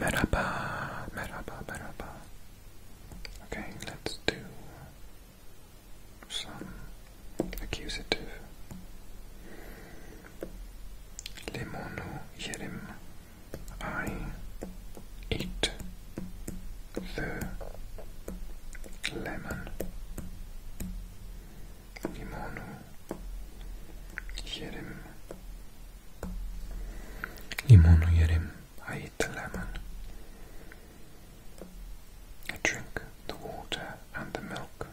Merhaba, merhaba, merhaba. Okay, let's do some accusative. Limonu yerim. I eat the lemon. Limonu yerim limonu yerim I eat the lemon I drink the water and the milk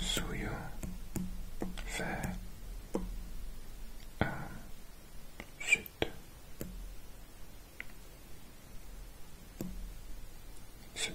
suyo fair um,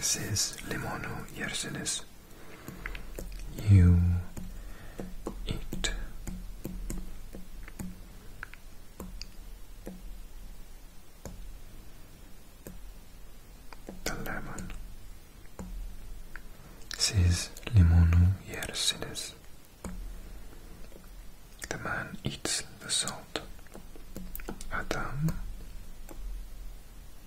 Says limonu yersiniz. You eat the lemon. Siz limonu yersiniz. The man eats the salt. Adam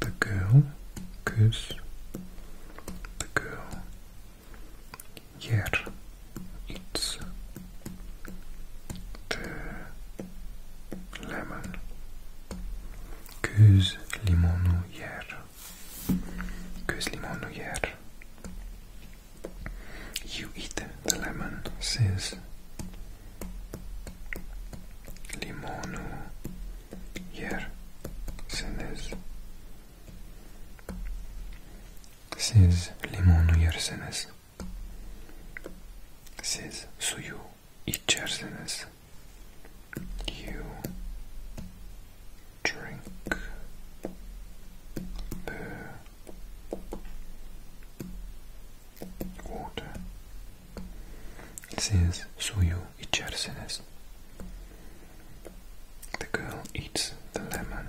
the girl, cause the girl. Yeah, it's the lemon, cause limonu yeah, cause limonu yeah. You eat the lemon, says. Limonu yersiniz? Siz limonu yersiniz. Siz suyu içersiniz. You drink the water siz suyu içersiniz. The girl eats the lemon.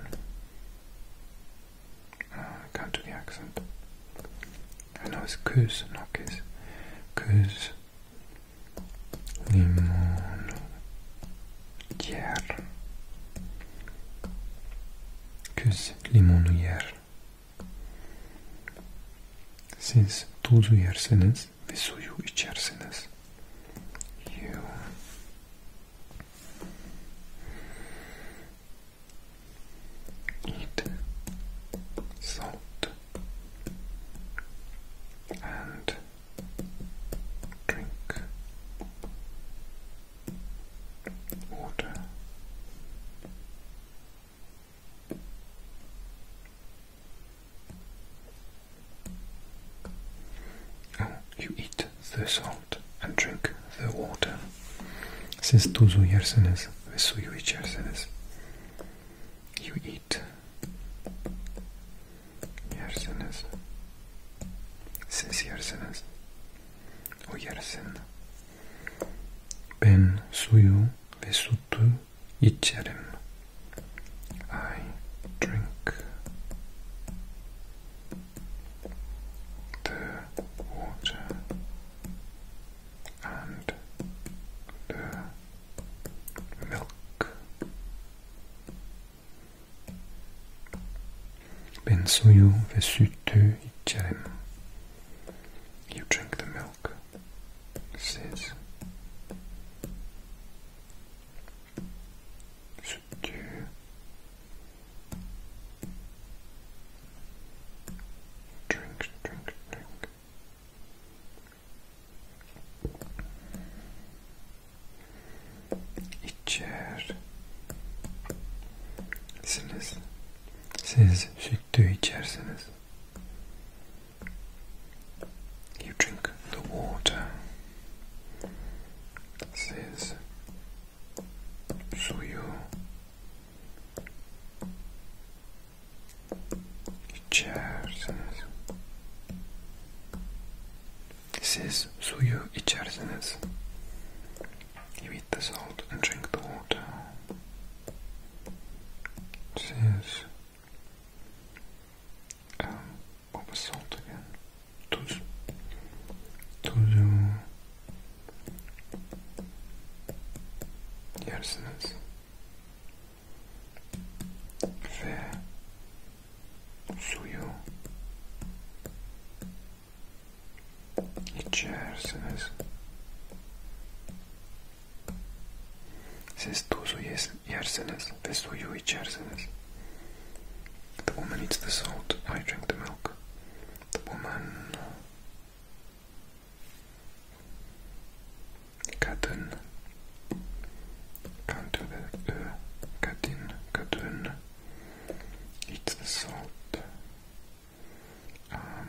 Oh, I can't do the accent. I know it's kuz, not kiss. Kuz, limon, yer. Kuz, since Siz tuzu yersiniz ve suyu içersiniz. You eat salt and drink water you eat the salt and drink the water. Siz tuzu yersiniz ve suyu içersiniz. You eat. Yersiniz. Siz yersiniz. O yersin. Ben suyu ve sütü içerim. I drink the water and the milk. Ben suyu ve sütü içerim. You drink the milk. siz sütü drink drink drink içer siz sütü içersiniz You drink the water. It says suyo. İçersiniz. Siz suyu içersiniz. You eat the salt and drink the water says um, what was salt again? Tuz. Tuzu. Yersiniz. Ve suyu içersiniz. The woman eats the salt, I drink the milk. The woman... Kadın. Can't do that. Kadın. Kadın. Eats the salt. Um,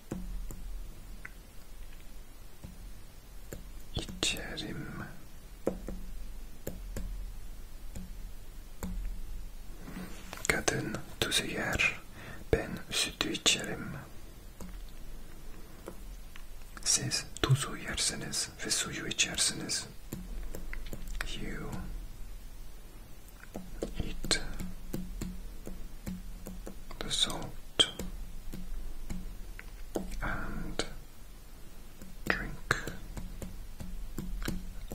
İçerim. Kadın tuzu yer, ben sütü içerim. Siz tuzu yersiniz ve suyu içersiniz. You eat the salt and drink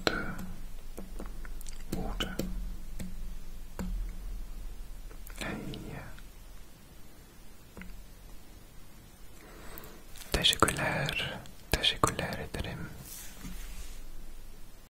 the water. Teşekkürler, teşekkürler ederim.